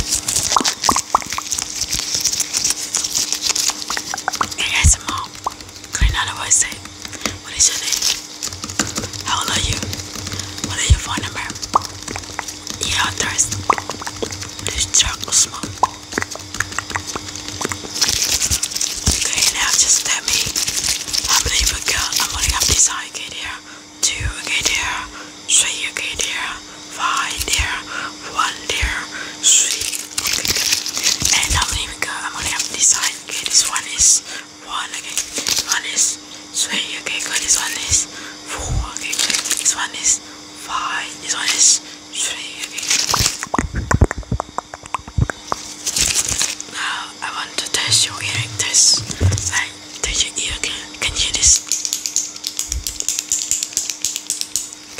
Hey guys, I'm mom. Granada, what is What is your name? How old are you? What is your phone number? Yeah, thirst. This chocolate smoke. Okay, now just tell me how many you got. I'm gonna have here two okay dear, three okay dear, five dear, one dear, three okay. And now here we go. I'm gonna have this side. Okay, this one is one. Okay, this one is three. Okay, good. This one is four. Okay, This one is five. This one is three. Okay. Now I want to test your hearing Like to your ear. Can you hear this?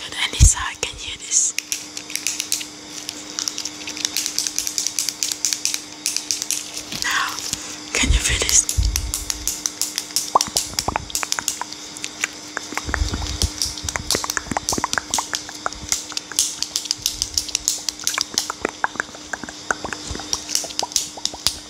Good. Any can hear this. Now, can you feel this?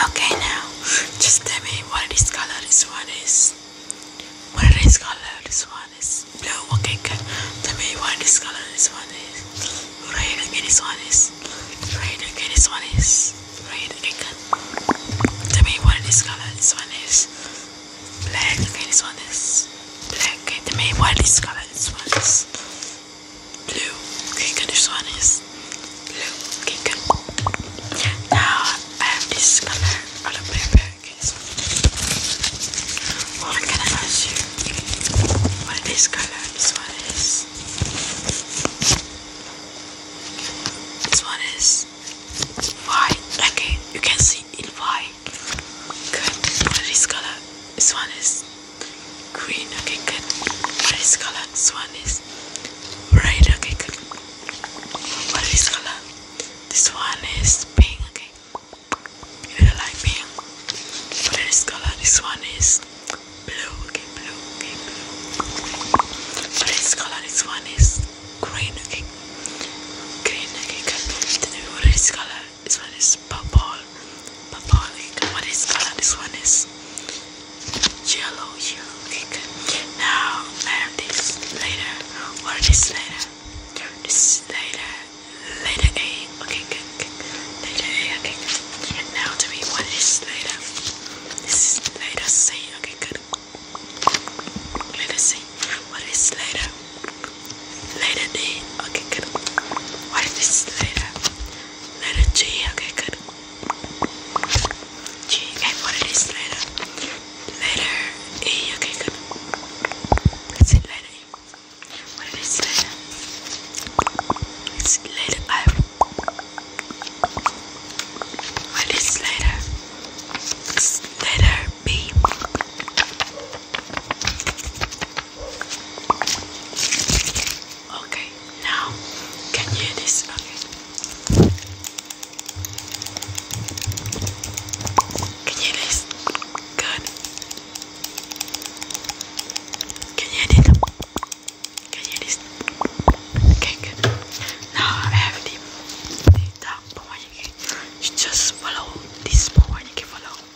Okay, now just tell me what is color. This one is what is this color? This one is blue. Okay, good. Tell me what is color. This one is Okay, this one is red. Okay, this one is red. Okay, good. Tell me what is color. This one is black. Okay, this one is black. Okay, the main one is color. This one is blue. Okay, good. This one is blue. Okay, good. Now I have this color on the paper. Okay, so what can I ask you? What is this color? This one is. This one is white. Okay, you can see in white white. Good. What is color? This one is green. Okay, good. What is color? This one is red. Okay, good. What is color? This one is pink. Okay. You really like pink. What is color? This one is blue. Okay, blue. Okay, blue. What is color? This one is green. Okay. Green. Okay, good. Tell me what is color? This one is purple. Purple What is This one is yellow. Yellow Now I later. What is later? This later. Later A. Okay, good. Later A. Okay. Good. Now to me, what is later? This is later C. Okay, good. Later C. What is later? Letter D. Okay, good. What is this letter? Letter G. Okay, good. G. Okay, what is this letter? Letter E. Okay, good. Let's see letter E. What is this letter? It's letter I. What is this letter? It's letter B. Okay, now can you hear this? Okay. Can you hear this? Good. Can you hear this? Can you hear this? Okay, good. Now I have the, the you, just follow this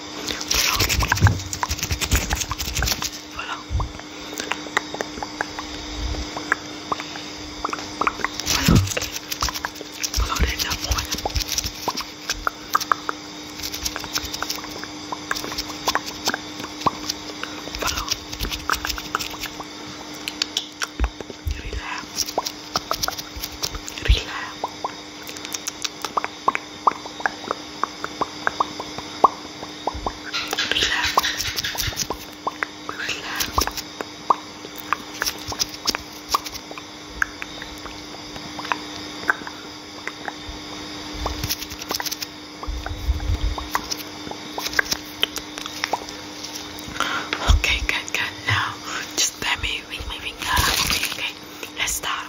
Voilà. Voilà. Voilà, on est bien pour elle. Voilà. Relax. Relax. Okay, good, good. Now just let me ring my finger. Okay, okay. Let's start.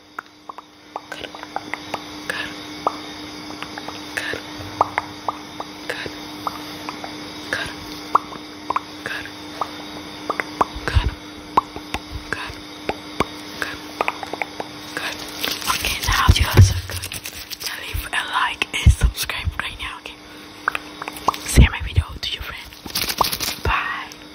Good. Okay, now you guys good. So leave a like and subscribe right now, okay? Share my video to your friends. Bye.